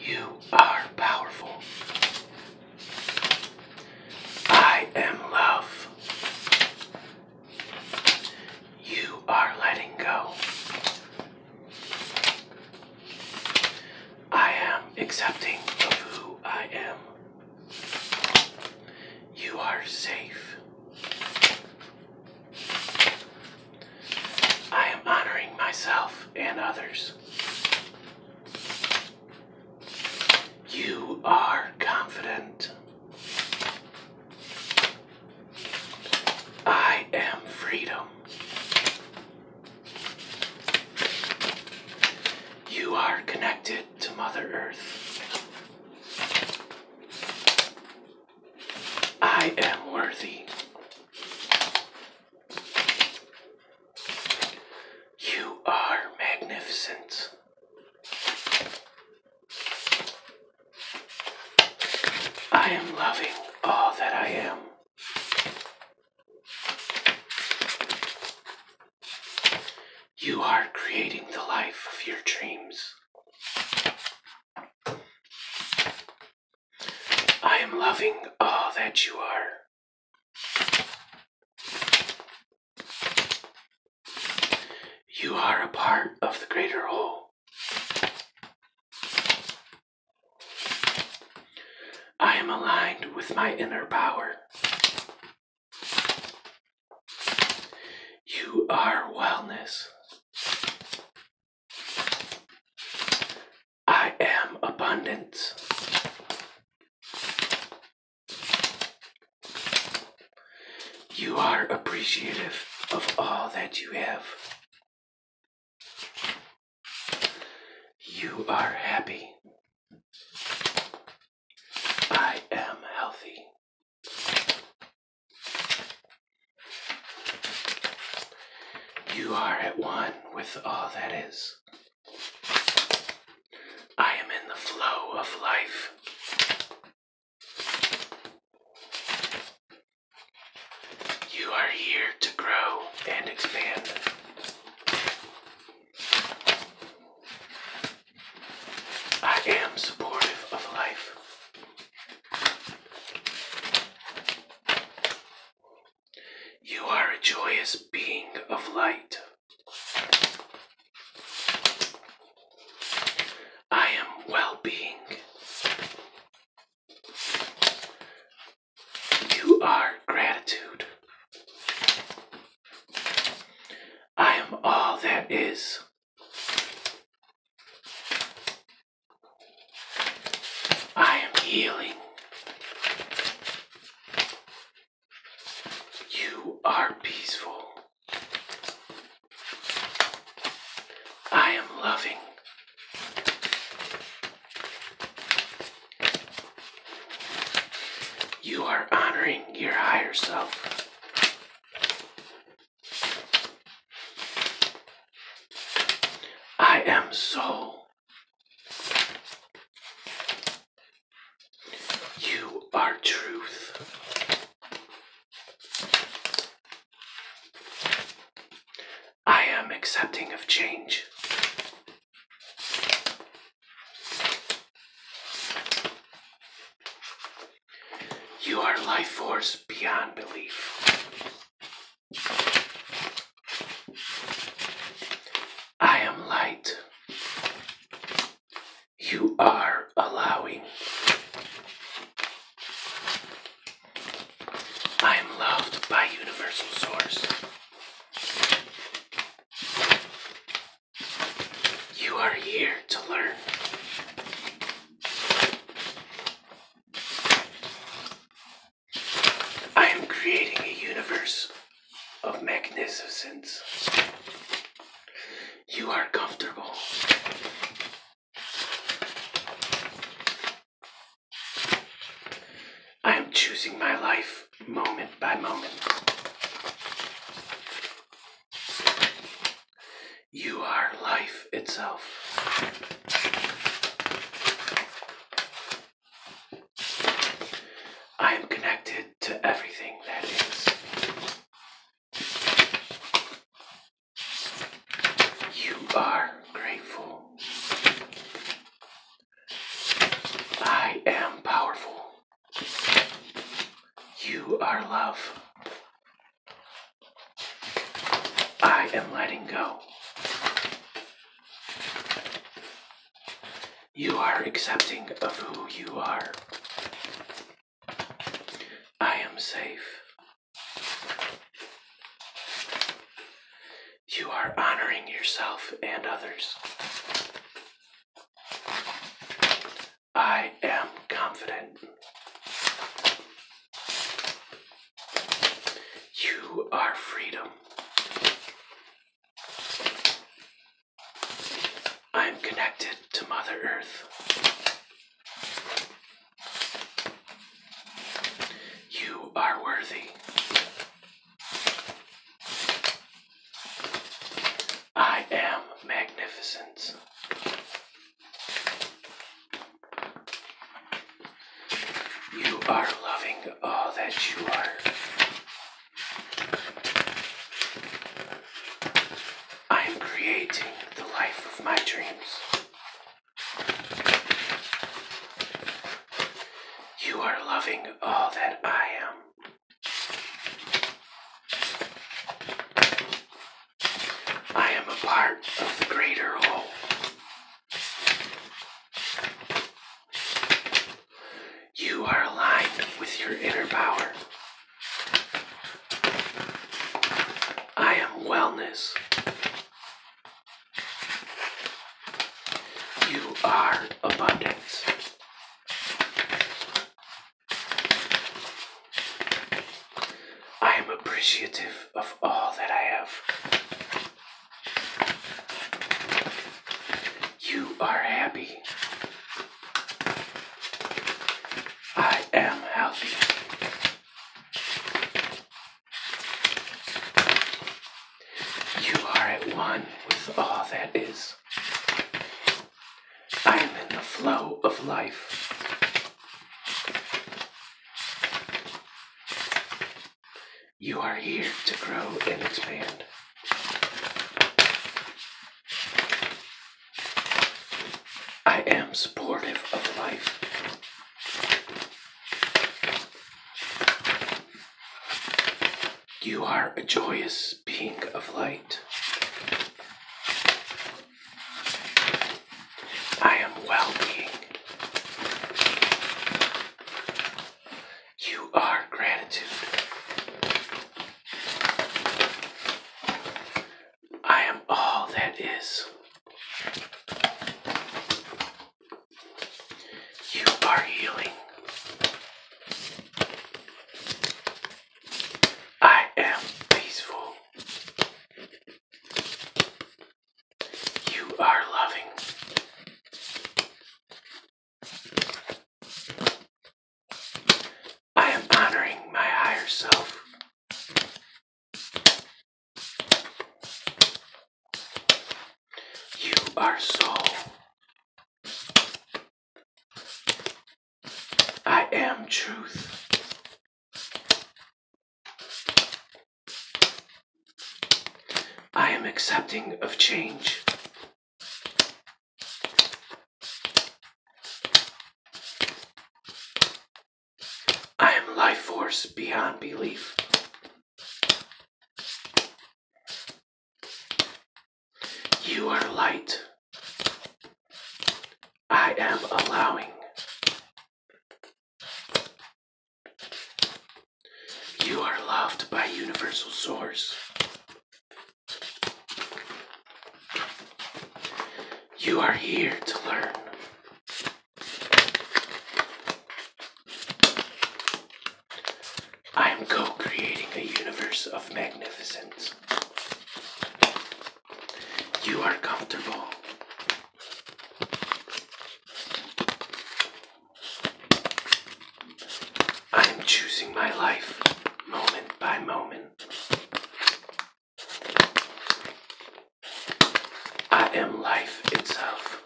You are powerful. I am love. You are letting go. I am accepting of who I am. You are safe. I am honoring myself and others. You are confident. I am freedom. You are connected to Mother Earth. I am worthy. You are magnificent. I am loving all that I am. You are creating the life of your dreams. I am loving all that you are. You are a part of the greater whole. I am aligned with my inner power. You are wellness. I am abundance. You are appreciative of all that you have. You are happy. I am healthy. You are at one with all that is. I am in the flow of life. You are here to grow and expand. I am supportive of life. You are a joyous being of light. I am well being. You are gratitude. I am all that is. I am healing. You are peaceful. I am loving. You are honoring your higher self. I am soul. You are truth. I am accepting of change. You are life force beyond belief. I am light. You are allowing. I am loved by universal source. You are here to learn. I am creating a universe of magnificence. You are comfortable. I am choosing my life moment by moment. You are life itself. I am connected to everything that is. You are grateful. I am powerful. You are love. I am letting go. You are accepting of who you are. I am safe. You are honoring yourself and others. I am confident. You are freedom. I'm connected to Mother Earth. You are worthy. I am magnificent. You are loving all that you are. I am creating the life of my dreams. You are loving all that I am. I am a part of the greater whole. You are aligned with your inner power. I am wellness. You are abundance. I am appreciative of all that I have. You are happy. I am healthy. You are at one with all that is. I am in the flow of life. You are here to grow and expand. I am supportive of life. You are a joyous being of light. I am well being. You are gratitude. I am all that is. You are healing. I am peaceful. You are loving. I am honoring my higher self. You are soul. I am truth. I am accepting of change. I am life force beyond belief. You are light. I am allowing. You are loved by Universal Source. You are here to learn. I am co creating a universe of magnificence. You are comfortable. I am choosing my life moment by moment. I am life itself.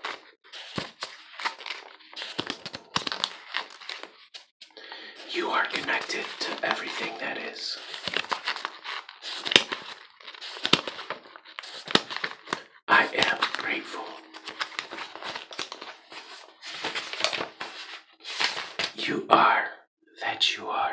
You are connected to everything that is. I am grateful. You are that you are.